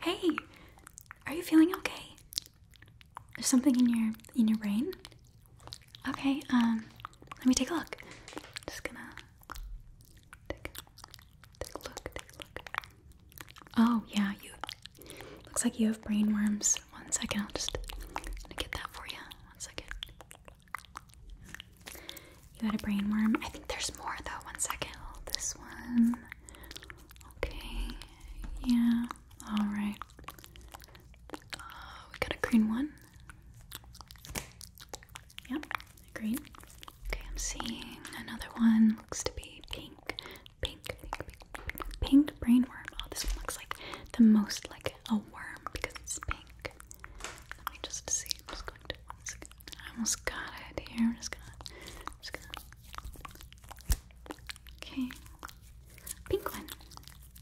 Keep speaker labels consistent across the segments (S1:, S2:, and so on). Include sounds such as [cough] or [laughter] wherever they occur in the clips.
S1: Hey, are you feeling okay? There's something in your in your brain? Okay, um, let me take a look. Just gonna take, take a look, take a look. Oh yeah, you looks like you have brain worms. One second, I'll just get that for you. One second. You got a brain worm. I think there's more though. One second. Oh, this one. Okay, yeah, alright. Uh, we got a green one. Yep, green. Okay, I'm seeing another one. Looks to be pink. Pink, pink, pink, pink, pink brain worm. Oh, this one looks like the most like a worm because it's pink. Let me just see. i almost got it here. i just going I'm just gonna. Okay, pink one.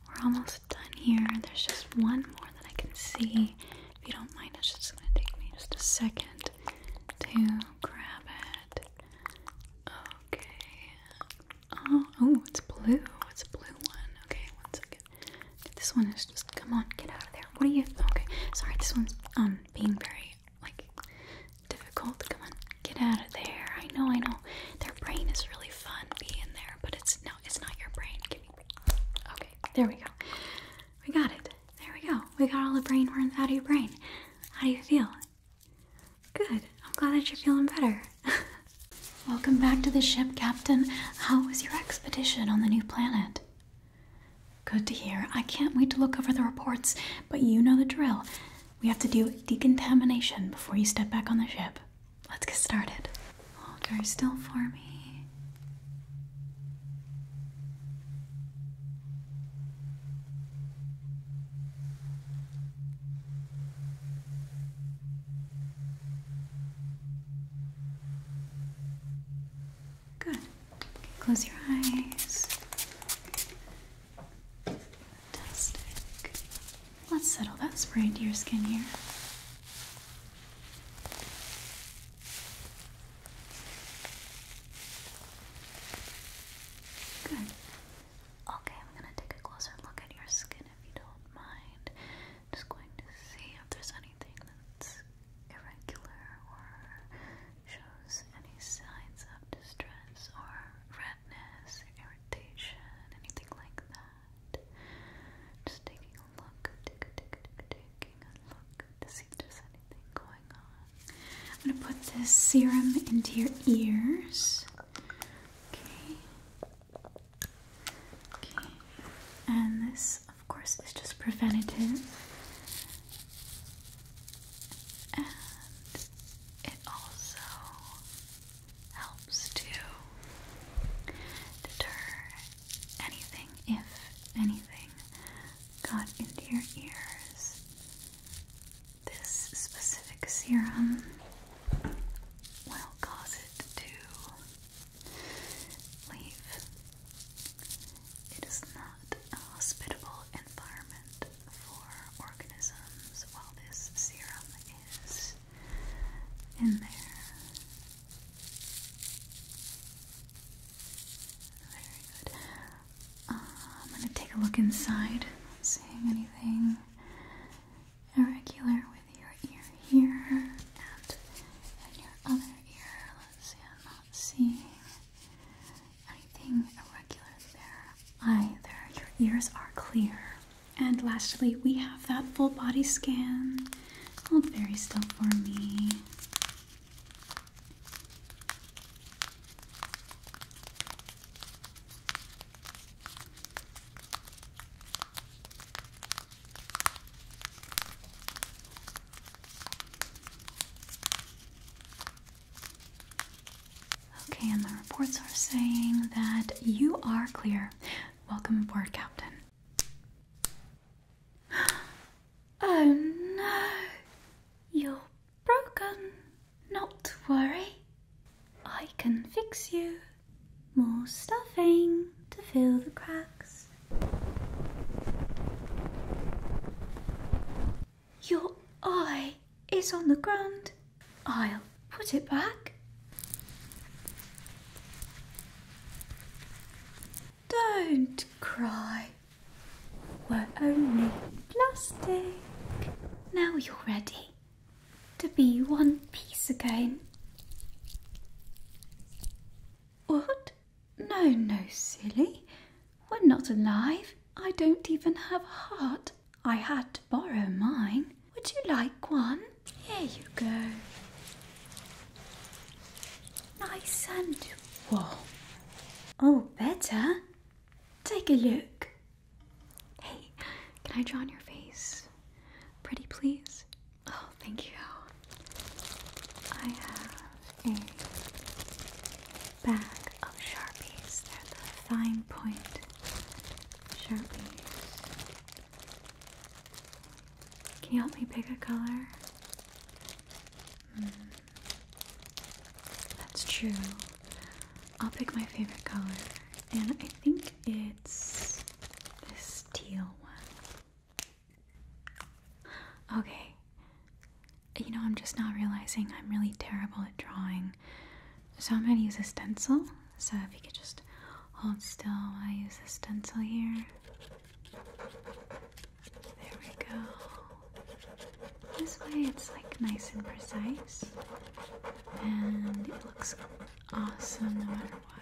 S1: We're almost done here. There's just one more that I can see. If you don't mind, it's just gonna take me just a second to grab it. Okay. Oh, oh, it's blue. It's a blue one. Okay, one second. This one is just. Come on, get out of there. What are you? Okay, sorry. This one's um being very like, difficult. Come on, get out of there. I know, I know. Their brain is really fun being there, but it's no, it's not your brain. Give Okay, there we go. We got it. There we go. We got all the brain worms out of your brain. How do you feel? Good. I'm glad that you're feeling better. [laughs] Welcome back to the ship, Captain. How was your expedition on the new planet? Good to hear. I can't wait to look over the reports, but you know the drill. We have to do decontamination before you step back on the ship. Let's get started. Hold still for me. Good. Close your eyes. Let's settle that spray into your skin here. Good. Okay, I'm gonna take a closer look at your skin if you don't mind. Just going to see if there's anything that's irregular or shows any signs of distress or redness or irritation, anything like that. Just taking a look, take, take, taking a look to see if there's anything going on. I'm going to put this serum into your ears. Okay. Okay. And this, of course, is just preventative and it also helps to deter anything, if anything, got into your ears. This specific serum will cause it to leave. It is not a hospitable environment for organisms while this serum is in there. Very good. Uh, I'm going to take a look inside, seeing anything irregular with your ear here and, and your other ear. Let's see, I'm not seeing anything irregular there either. Your ears are clear. And lastly, we have that full body scan. Hold very still for me. Okay, and the reports are saying that you are clear. Welcome aboard, Captain. [gasps] Oh no, you're broken. Not to worry, I can fix you. More stuffing to fill the cracks. Your eye is on the ground. I'll put it back. Don't cry. We're only plastic. Now you're ready to be one piece again. What? No, no, silly. We're not alive. I don't even have a heart. I had to borrow mine. Would you like one? Here you go. Nice and warm. Oh, better. Take a look. Hey, can I draw on your face? Pretty, please. Oh, thank you. I have a bag of Sharpies. They're the fine point Sharpies. Can you help me pick a color? Hmm. That's true. I'll pick my favorite color, and I think it's this teal one. Okay, you know, I'm just not realizing I'm really terrible at drawing. So I'm going to use a stencil. So if you could just hold still I use a stencil here. There we go. This way it's like nice and precise. And it looks awesome no matter what.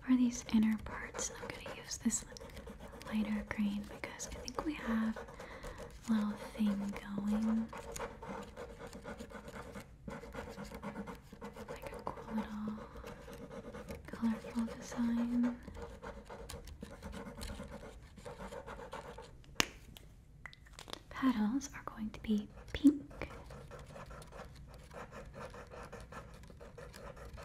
S1: For these inner parts, I'm going to use this lighter green because I think we have a little thing going. Like a cool little colorful design. Petals are going to be pink.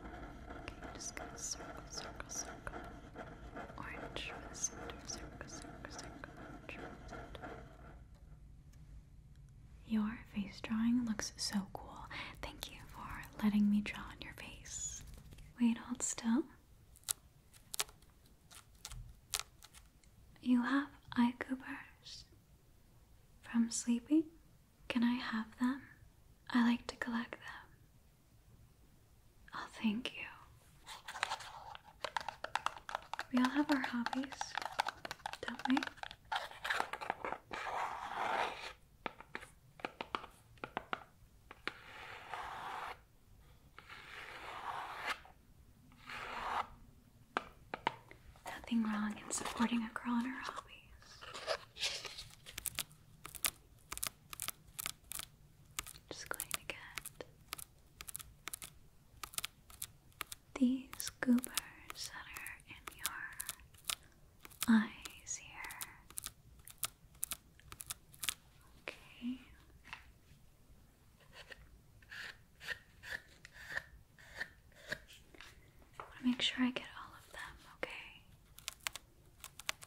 S1: Okay, just gonna circle, circle, circle. Orange for the circle, circle, circle, orange for Your face drawing looks so cool. Thank you for letting me draw on your face. Wait, hold still. You have eye goobers from sleeping? Can I have them? I like to collect them. Oh, thank you. We all have our hobbies, don't we? Nothing wrong in supporting a girl in her hobbies. Just going to get these goobers that are in your eyes here. Okay. I want to make sure I get all of them, okay?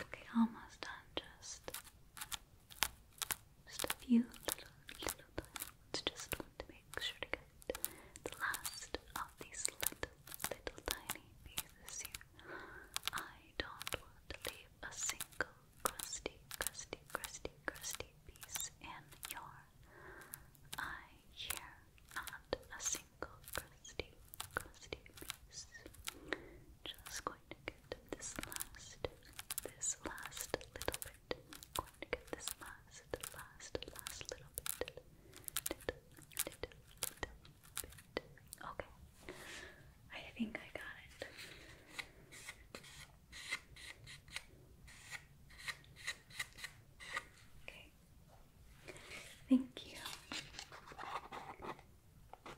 S1: Okay, almost done. Just, just a few little, little diamonds. Just to make sure to get the last of these little, little tiny pieces here. I don't want to leave a single crusty, crusty, crusty, crusty piece in your eye hear not a single crusty, crusty piece. Just going to get this last, this last little bit. Going to get this last, last, last little bit. Okay. I think I got it. Okay. Thank you.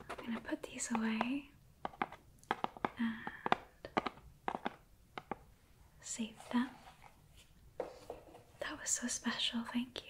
S1: I'm going to put these away and save them. That was so special, thank you.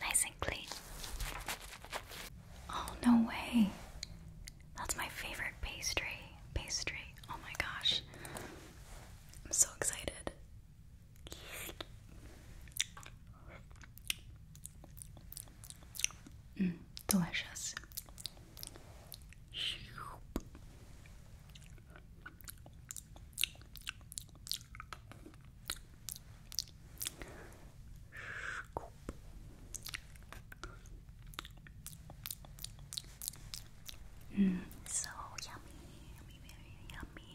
S1: Nice and clean. Oh, no way. That's my favorite pastry. Pastry. Oh my gosh. I'm so excited. Mm, delicious. Scoop. Mm, so yummy, yummy, very yummy.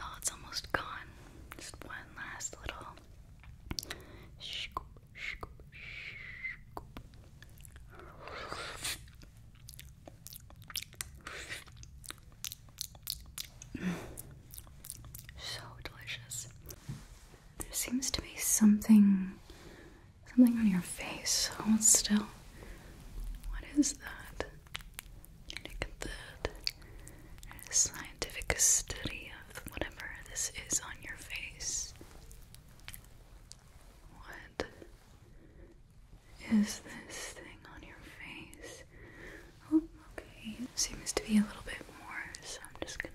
S1: Oh, it's almost gone. Just one last little scoop, scoop, so delicious. There seems to be something something on your face. Hold still. What is that? scientific study of whatever this is on your face. What is this thing on your face? Oh, okay. seems to be a little bit more, so I'm just gonna.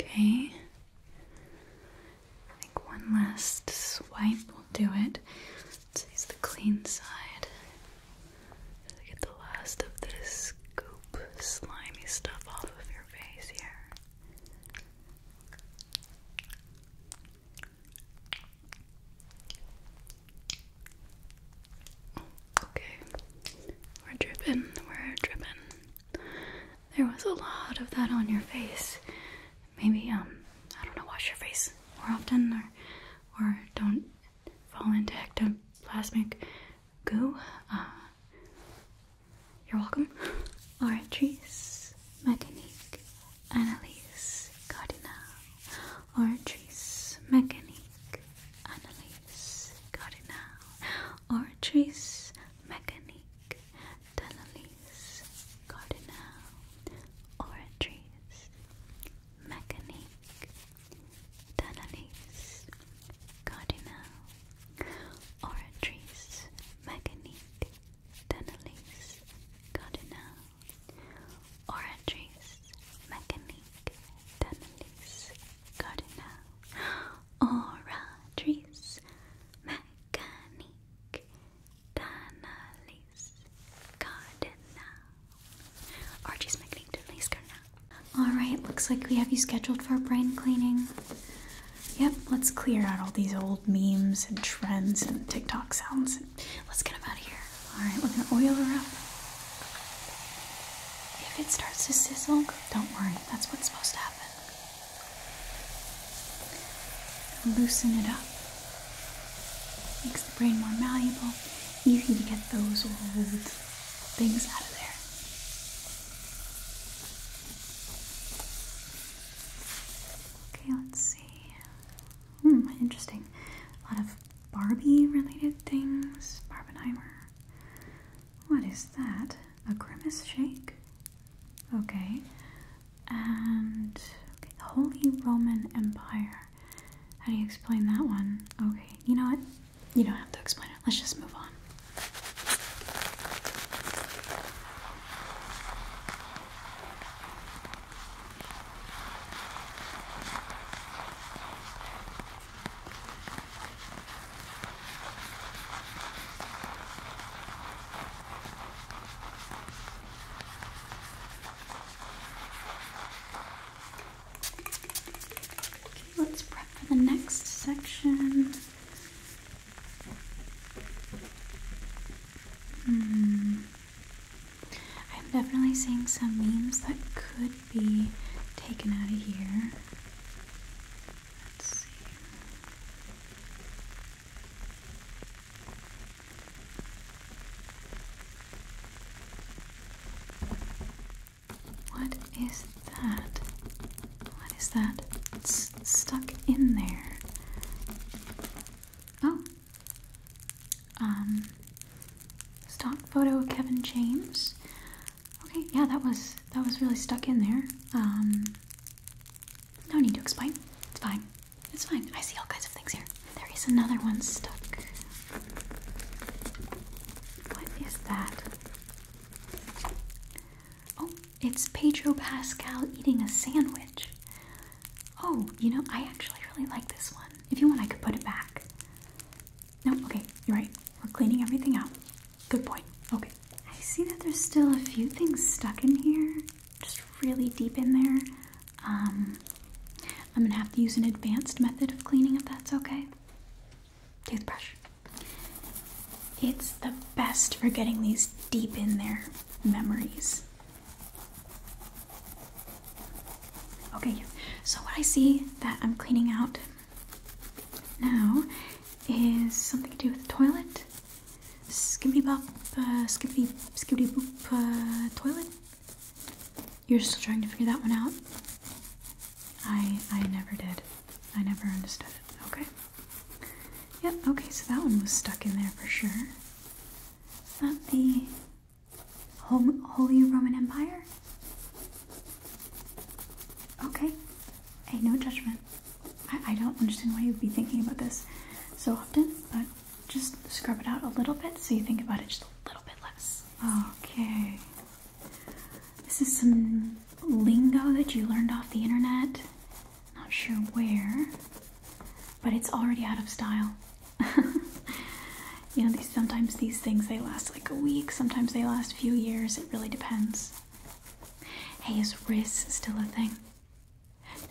S1: Okay. I think one last swipe will do it. let use the clean side. To get the last of this goop, slimy stuff off of your face here. Okay, we're dripping, we're dripping. There was a lot of that on your face. Maybe, um, I don't know, wash your face more often or or don't fall into ectoplasmic goo. Uh, you're welcome. All right, Oratrice, Mechanique, Annalise, Cardinal. Ortris Mechanique Annalise Cardinal Ortris Mechanique Annalise Cardinal Ortris Mechanique Annalise Cardinal Ortris Mechanique Annalise Cardinal Orangeries, Mechanique, Denelise, Cardinal, Orangeries, Mechanique, Denelise, Cardinal, Orangeries, Mechanique, Denelise, Cardinal. Alright, looks like we have you scheduled for brain cleaning. Yep, let's clear out all these old memes and trends and TikTok sounds. Let's get him out of here. Alright, we're gonna oil her up. If it starts to sizzle, don't worry, that's what's supposed to happen. Loosen it up. Makes the brain more malleable. You need to get those old things out of there. Okay, let's see. Hmm, interesting. A lot of Barbie related things. Barbenheimer. What is that? A grimace shake? Okay. And the Holy Roman Empire. How do you explain that one? Okay, you know what? You don't have to explain it. Let's just move on. Okay, let's prep for the next section. Hmm. I'm definitely seeing some memes that could be taken out of here. What is that? What is that? stuck in there. Oh, um, stock photo of Kevin James. Okay, yeah, that was that was really stuck in there. Um, no need to explain. It's fine. It's fine. I see all kinds of things here. There is another one stuck. What is that? Oh, it's Pedro Pascal eating a sandwich. Oh, you know, I actually really like this one. If you want, I could put it back. No, okay, you're right. We're cleaning everything out. Good point. Okay. I see that there's still a few things stuck in here, just really deep in there. Um, I'm gonna have to use an advanced method of cleaning if that's okay. Toothbrush. It's the best for getting these deep in there memories. Okay, so what I see that I'm cleaning out now is something to do with the toilet. Skibbity bop, uh, skibbity, skibbity boop, uh, toilet. You're still trying to figure that one out? I, I never did. I never understood it. Okay. Yep, okay, so that one was stuck in there for sure. Not the Holy Roman Empire? Okay. Hey, no judgment. I, I don't understand why you'd be thinking about this so often, but just scrub it out a little bit so you think about it just a little bit less. Okay. This is some lingo that you learned off the internet. Not sure where, but it's already out of style. [laughs] you know, these sometimes these things they last like a week, sometimes they last a few years. It really depends. Hey, is Riz still a thing?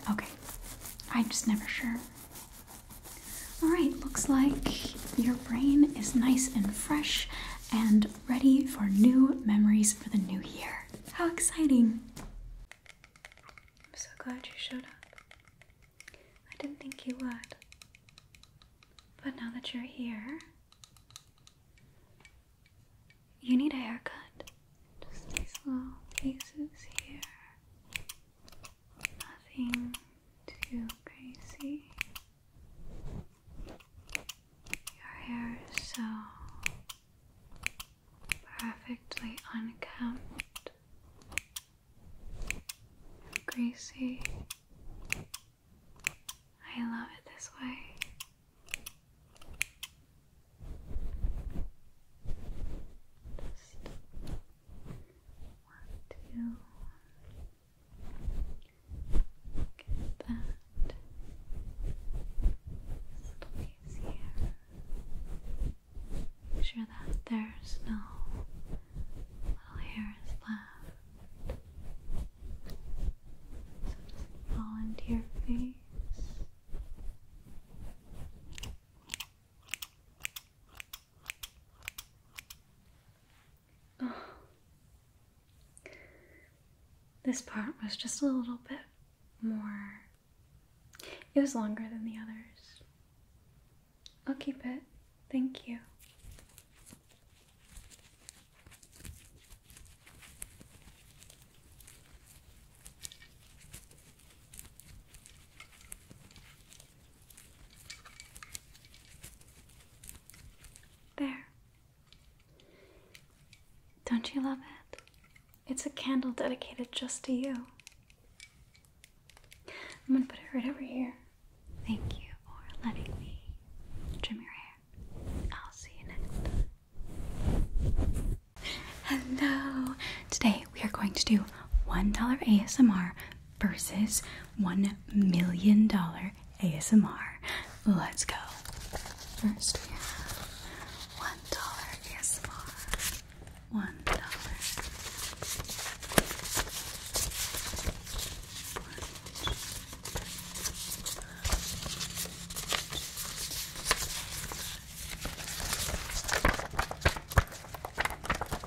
S1: Okay, I'm just never sure. All right, looks like your brain is nice and fresh and ready for new memories for the new year. How exciting! I'm so glad you showed up. I didn't think you would. But now that you're here, you need a haircut. Just these little pieces here. Nothing too crazy. Your hair is so perfectly unkempt. Gracie. I love it this way. Just want to get that little piece here. Make sure that there's no little hairs left. Does face? Oh. This part was just a little bit more. It was longer than the others. I'll keep it. Thank you. There. Don't you love it? It's a candle dedicated just to you. I'm gonna put it right over here. Thank you for letting me trim your hair. I'll see you next time. Hello! Today we are going to do $1 ASMR versus $1 million ASMR. Let's go. First we have $1 ASMR. $1.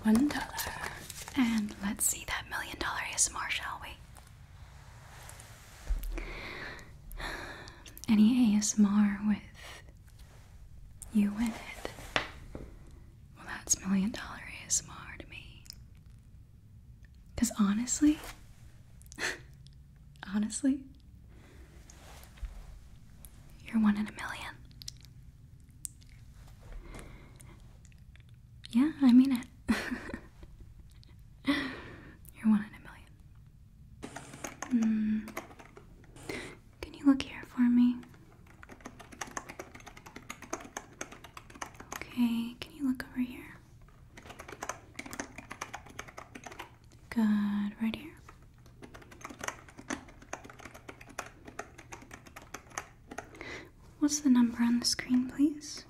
S1: One dollar. And let's see that million dollar ASMR, shall we? Any ASMR with you win it? Well, that's million dollar ASMR to me. Because honestly, [laughs] honestly, you're one in a million. Yeah, I mean it. [laughs] you're one in a million. Hmm. Can you look here for me? Okay, can you look over here? Good, right here. What's the number on the screen, please?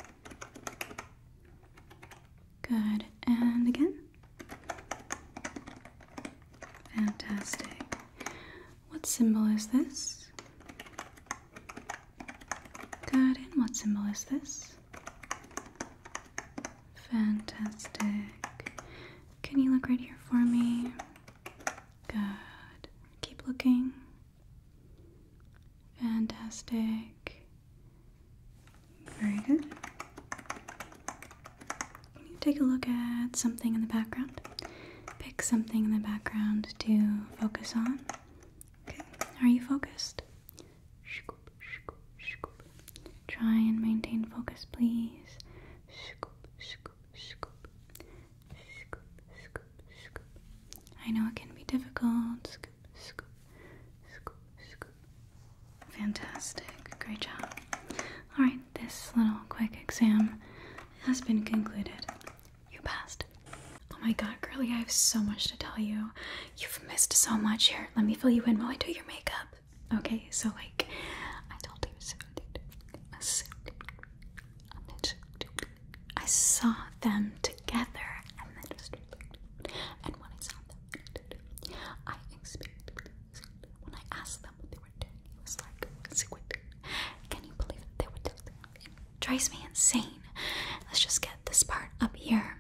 S1: Good, and again? Fantastic. What symbol is this? Good, and what symbol is this? Fantastic. Can you look right here for me? Good. Keep looking. Fantastic. Very good. Can you take a look at something in the background? pick something in the background to focus on. Okay, are you focused? Try and maintain focus, please. Scoop, scoop, scoop. I know it can be difficult. Scoop, scoop, scoop, scoop. Fantastic. Great job. Alright, this little quick exam has been concluded. You passed. Oh my god, girly, I have so much to tell you. You've missed so much. Here, let me fill you in while I do your makeup. Okay, so like, I told you so. I saw them together, and then just and when I saw them, I experienced when I asked them what they were doing. It was like, "Can you believe that they were doing?" drives me insane. Let's just get this part up here.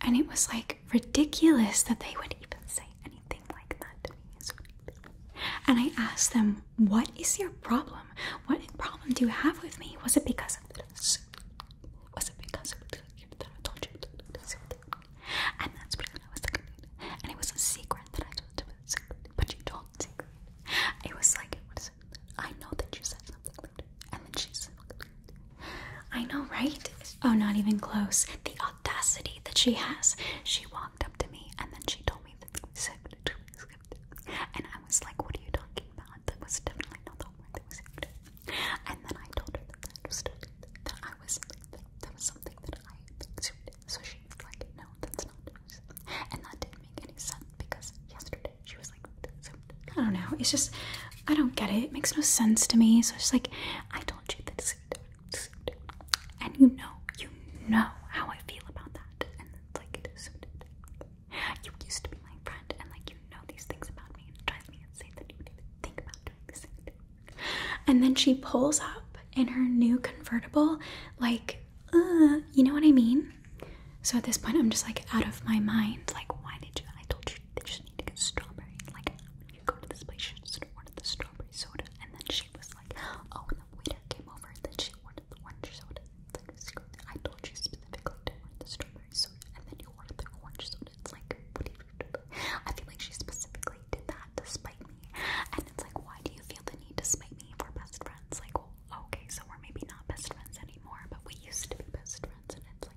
S1: And it was like ridiculous that they would even say anything like that to me. And I asked them, What is your problem? What problem do you have with me? Was it because of this? Was it because of this? I told you And that's what I was like, And it was a secret that I told you, but you told secret. It was like, What is I know that you said something And then she said, I know, right? Oh, not even close. The audacity that she has. She walked up to me and then she told me that said, and I was like, what are you talking about? That was definitely not the word that was it. And then I told her that I understood that I was, that, was something that I So she was like, no, that's not and that didn't make any sense because yesterday she was like I don't know. It's just I don't get it. It makes no sense to me. So it's like I told you this. And you know, you know how I feel about that. And it's like You used to be my friend and like you know these things about me it drives me insane that you even think about doing this. And then she pulls up in her new convertible like uh, you know what I mean? So at this point, I'm just like out of my mind. Like, why did you? I told you they just need to get strawberry. Like, when you go to this place, you just order the strawberry soda. And then she was like, oh, and the waiter came over and then she ordered the orange soda. It's like, screw that. I told you specifically to order the strawberry soda, and then you ordered the orange soda. It's like, what do you do? I feel like she specifically did that to spite me. And it's like, why do you feel the need to spite me for best friends? Like, okay, so we're maybe not best friends anymore, but we used to be best friends, and it's like.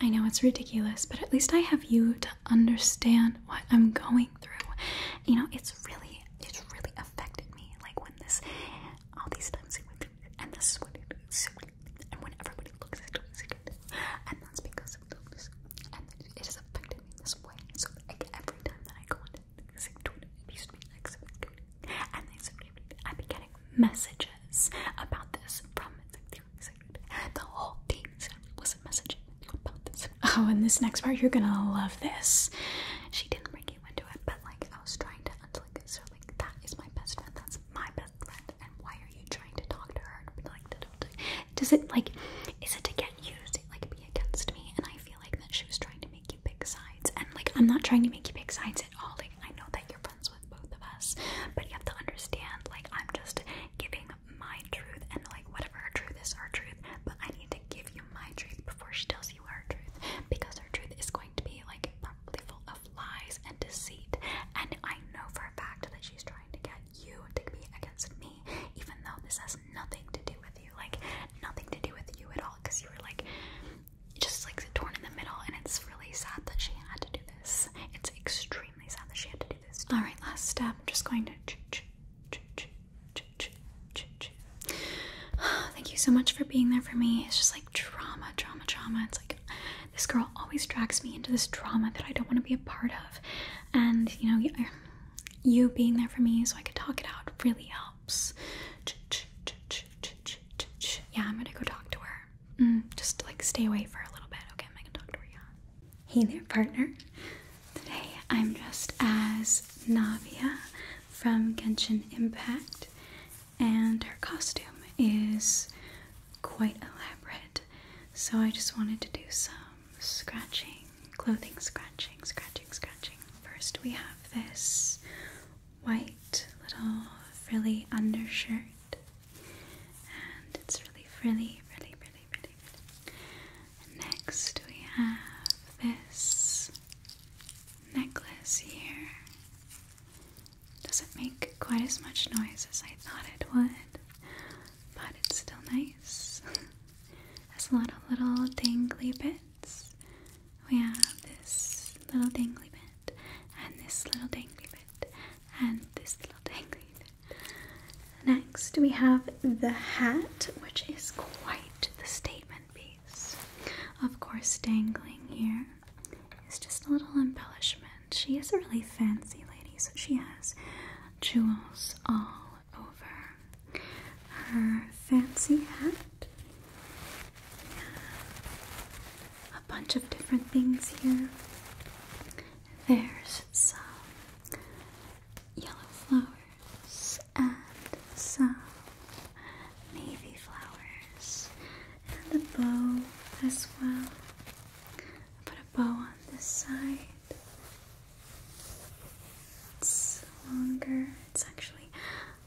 S1: I know it's ridiculous, but at least I have you to understand what I'm going through. You know, it's really, it's really affected me. Like when this, all these times and this is what And when everybody looks at it, and that's because of those, it has affected me this way. So like every time that I go on Twitter, it used to be like Twitter, and then I'd be getting messages about this from the whole team was messaging about this. Oh, and this next part, you're gonna love this. She didn't bring you into it, but like I was trying to unlike so like that is my best friend. That's my best friend. And why are you trying to talk to her? Like, does it like is it to get? get like be against me, and I feel like that she was trying to make you pick sides. And like, I'm not trying to make you pick sides at all. Like, I know that you're friends with both of us, but you have to understand. Like, I'm just giving my truth, and like, whatever her truth is, her truth. But I need to give you my truth before she tells you her truth, because her truth is going to be like probably full of lies and deceit. And I know for a fact that she's trying to get you to be against me, even though this has nothing to do with you, like nothing to do with you at all, because you were like just like torn in the middle, and it's really sad that she had to do this. It's extremely sad that she had to do this. All right, last step. I'm just going to. Ch -ch -ch -ch -ch -ch -ch -ch. [sighs] Thank you so much for being there for me. It's just like drama, drama, drama. It's like this girl always drags me into this drama that I don't want to be a part of, and you know, you being there for me so I could talk it out really helps. Yeah, I'm gonna go talk to her. Mm, just like stay away for a little bit. Okay, I'm gonna talk to her. Hey there, partner. Today I'm dressed as Navia from Genshin Impact, and her costume is quite elaborate. So I just wanted to do some scratching, clothing scratching, scratching, scratching. First, we have this white little frilly undershirt, and it's really frilly, really, really, really, Next, we have this necklace here. Doesn't make quite as much noise as I thought it would, but it's still nice. [laughs] has a lot of little dangly bits. We have this little dangly bit, and this little dangly bit, and this little [laughs] dangly bit. Next, we have the hat, which is quite the statement piece. Of course, dangling here is just a little embellishment. She is a really fancy lady, so she has jewels all over her fancy hat. A bunch of different things here. There's some yellow flowers and some navy flowers and a bow as well. Put a bow on this side it's longer. It's actually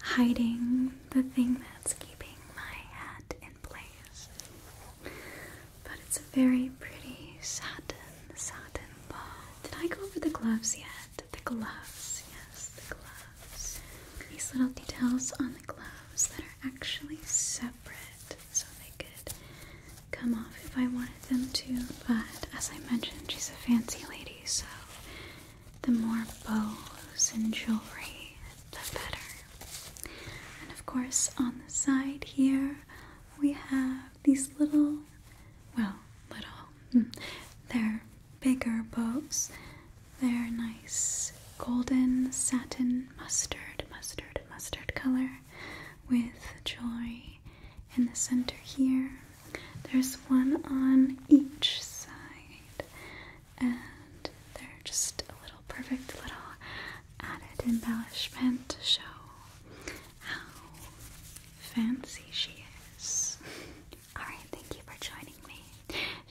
S1: hiding the thing that's keeping my hat in place. But it's a very pretty satin, satin ball. Did I go over the gloves yet? The gloves, yes, the gloves. These little details on the gloves that are actually separate so they could come off if I wanted them to, but as I mentioned, she's a fancy lady, so the more bows and jewelry, the better. And of course, on the side here, we have these little, well, little, hmm, they're bigger bows. They're nice golden satin mustard, mustard, mustard color with jewelry in the center here. There's one on each side, and they're just a little perfect little added embellishment to show how fancy she is. [laughs] Alright, thank you for joining me.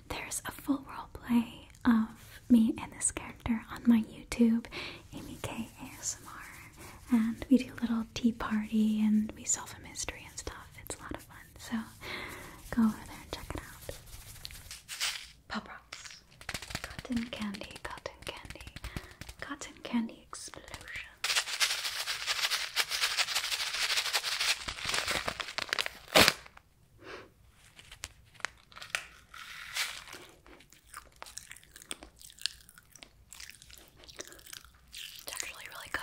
S1: There's a full role play of me and this character on my YouTube, Amy K ASMR and we do a little tea party and we solve a mystery and stuff. It's a lot of fun. So go over there and check it out. Pop Rocks. Cotton candy, cotton candy, cotton candy explosion. It's actually really good.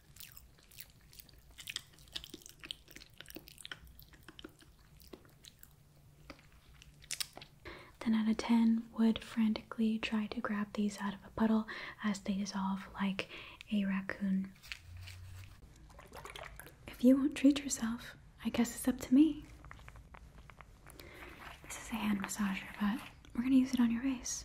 S1: Ten out of ten would frantically try to grab these out of a puddle as they dissolve like a raccoon. If you won't treat yourself, I guess it's up to me. This is a hand massager, but we're gonna use it on your face.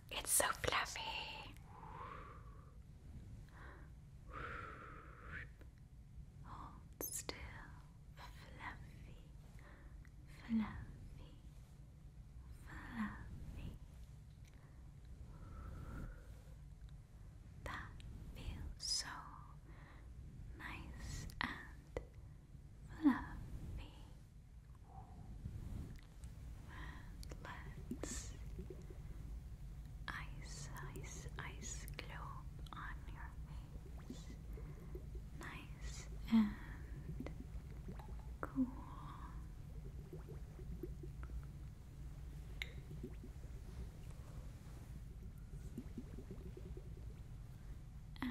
S1: It's so fluffy. Hold still, fluffy, fluffy, fluffy. That feels so nice and fluffy let's ice, ice, ice glow on your face. Nice and cool. And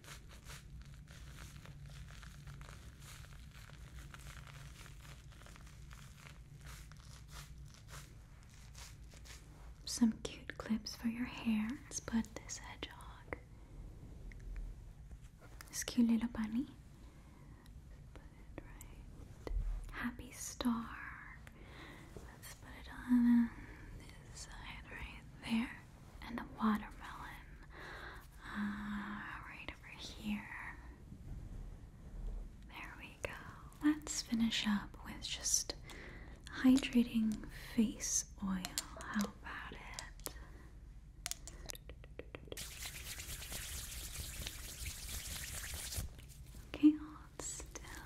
S1: Some cute clips for your hair. Let's put this hedgehog, this cute little bunny. Let's put it right. Happy star. Let's put it on this side right there and the watermelon uh, right over here. There we go. Let's finish up with just hydrating face oil. How about it? Okay, hold still.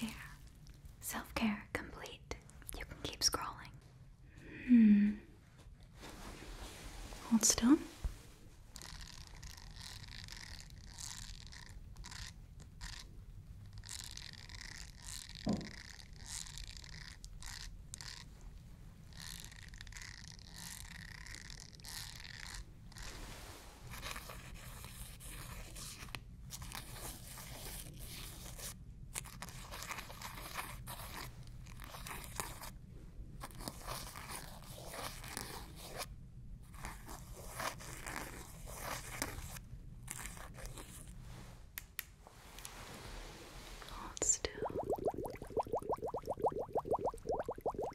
S1: There. Self care complete. You can keep scrolling. Hmm. Hold still. Hold still.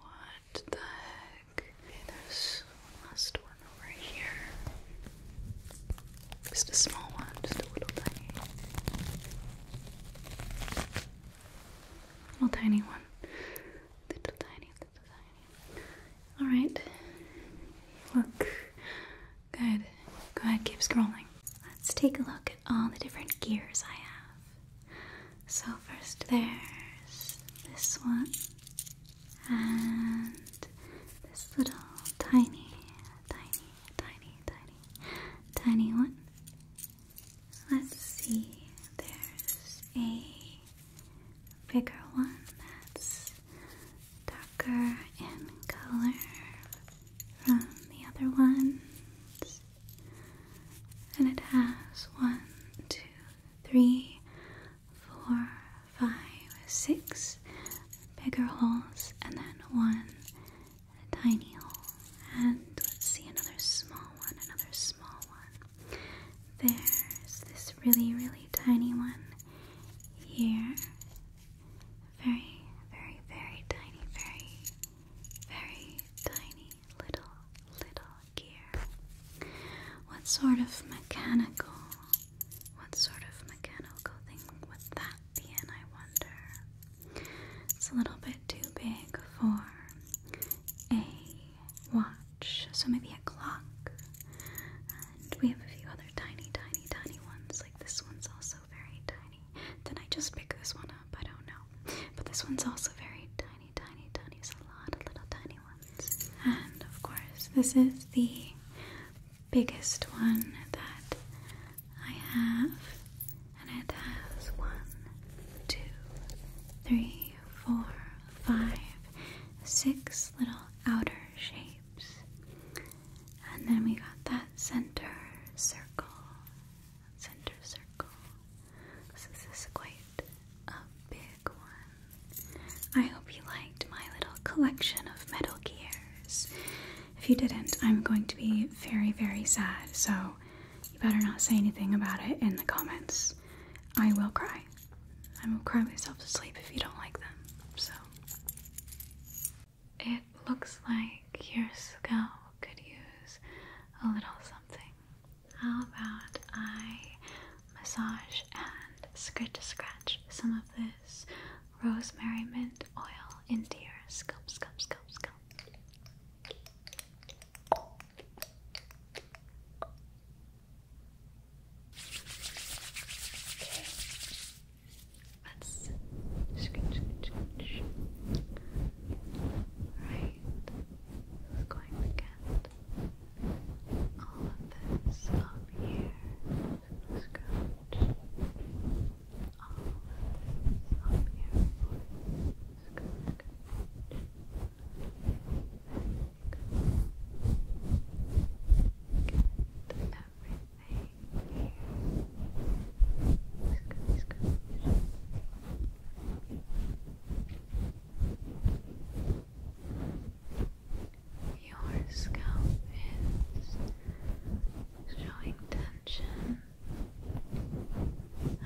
S1: What the heck? Okay, there's last one over here. Just a small one, just a little tiny. Little tiny one. Little tiny, little tiny. Alright. Look. Good. Go ahead, keep scrolling. Let's take a look at all the different gears I have. So, first there's this one, and this little tiny, tiny, tiny, tiny, tiny one. Let's see, there's a bigger one that's darker in color from the other ones and it has one, two, three, four, five, six bigger holes, and then one tiny hole. And let's see another small one, another small one. There's this really, really tiny one here. Very, very, very tiny, very, very tiny little, little gear. What sort of mechanical, what sort of mechanical thing would that be in, I wonder? It's a little bit too big for a watch, so maybe a clock. And we have a few other tiny, tiny, tiny ones, like this one's also very tiny. Then I just picked this one up. I don't know. Oh but this one's also very tiny, tiny, tiny. It's a lot of little tiny ones. And of course, this is the biggest one that I have. And it has one, two, three, four, five, six little outer shapes. And then we got that center circle center circle. this is quite a big one. I hope you liked my little collection of Metal Gears. If you didn't, I'm going to be very, very sad, so you better not say anything about it in the comments. I will cry. I will cry myself to sleep if you don't like them, so. It looks like your scalp could use a little something. How about I massage and scratch scratch some of this rosemary mint oil into your scalp, scalp, scalp, scalp. Okay. Let's scratch, scratch, scratch. Right we going to get all of this up here. Scratch. All of this up here. Scratch. There you Get everything here. Scratch, scratch. Your scalp is showing tension.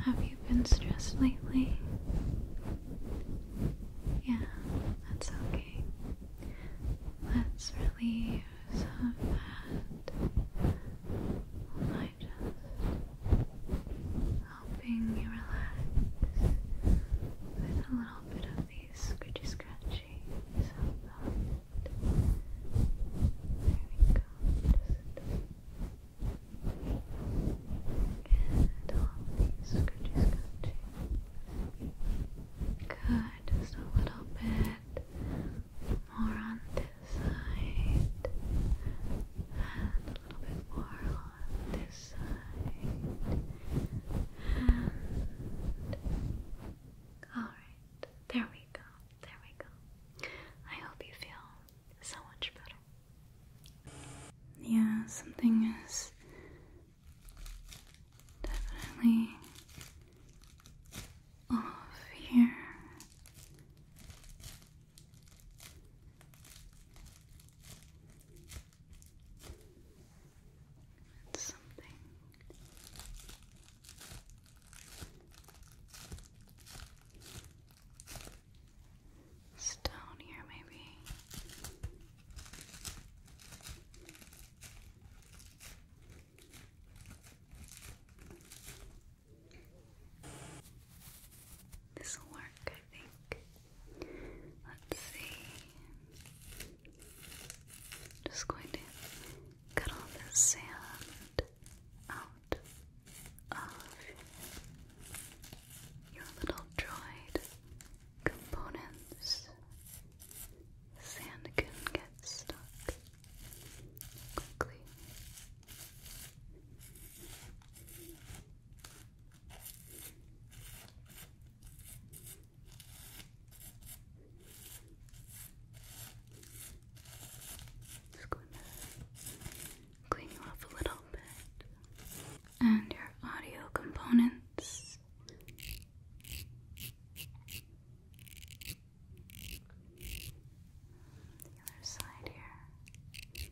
S1: Have you been stressed lately? Yeah, that's okay. Let's relieve some of that like just helping you relax with a little bit of these scratchy scratchy sound There we go. Just get all of these scratchy scratchy. Good, just a little bit more on this side and a little bit more on this side and alright, there we go, there we go. I hope you feel so much better. Yeah, something is definitely off here. That's something stone here, Maybe this will work, I think. Let's see. Just going to cut all this sand out of your little droid components. Sand can get stuck quickly. Just gonna clean you off a little bit. And your audio components the other side here.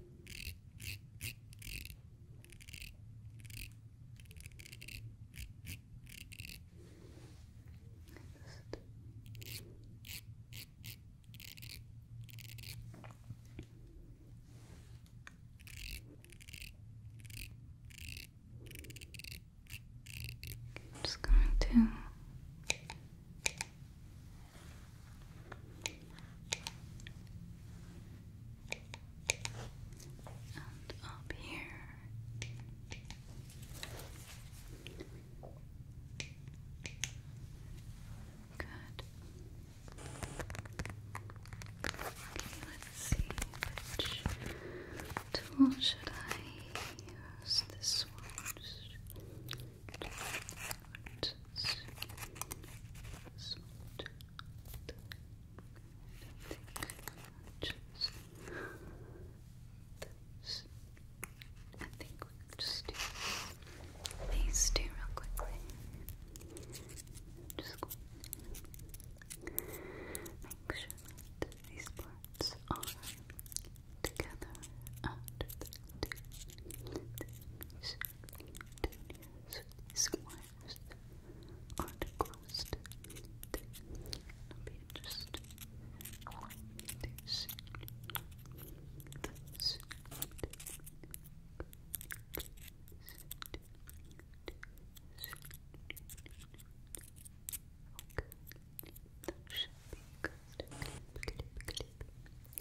S1: just going to and up here. Good. let's see which tool should I use? This one. Smart. Smart. I think we just these two real quickly. Just make sure these parts are together after the two squares aren't crossed. It'll be interesting to see this. Okay, that should be good. Clip, clip,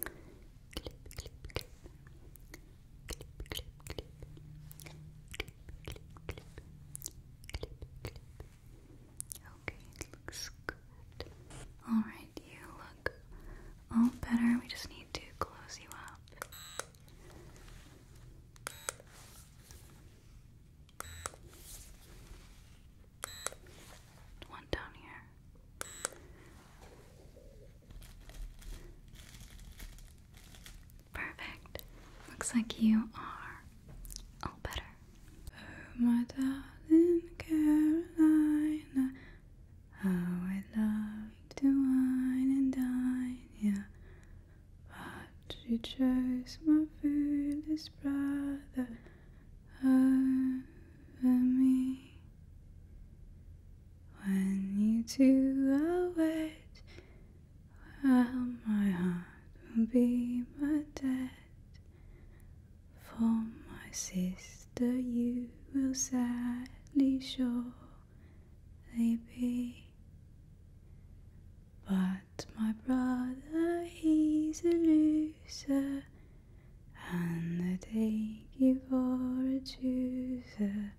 S1: clip, clip, clip, Okay, looks good. Alright, you look all better. We just need to close you up. One down here. Perfect. Looks like you are all better. Oh, my darling Carolina, how I love to wine and dine, yeah. But she chose my foolish brother over me. When you two are wed, well, my heart will be my dead. For my sister, you will sadly surely be. But my brother, he's a loser and the day you've a chooser.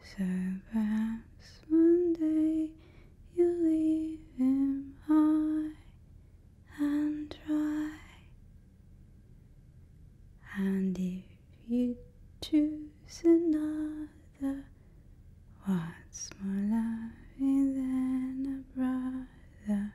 S1: So perhaps one day you'll leave him high and dry. And if you choose another, what's more loving than a brother?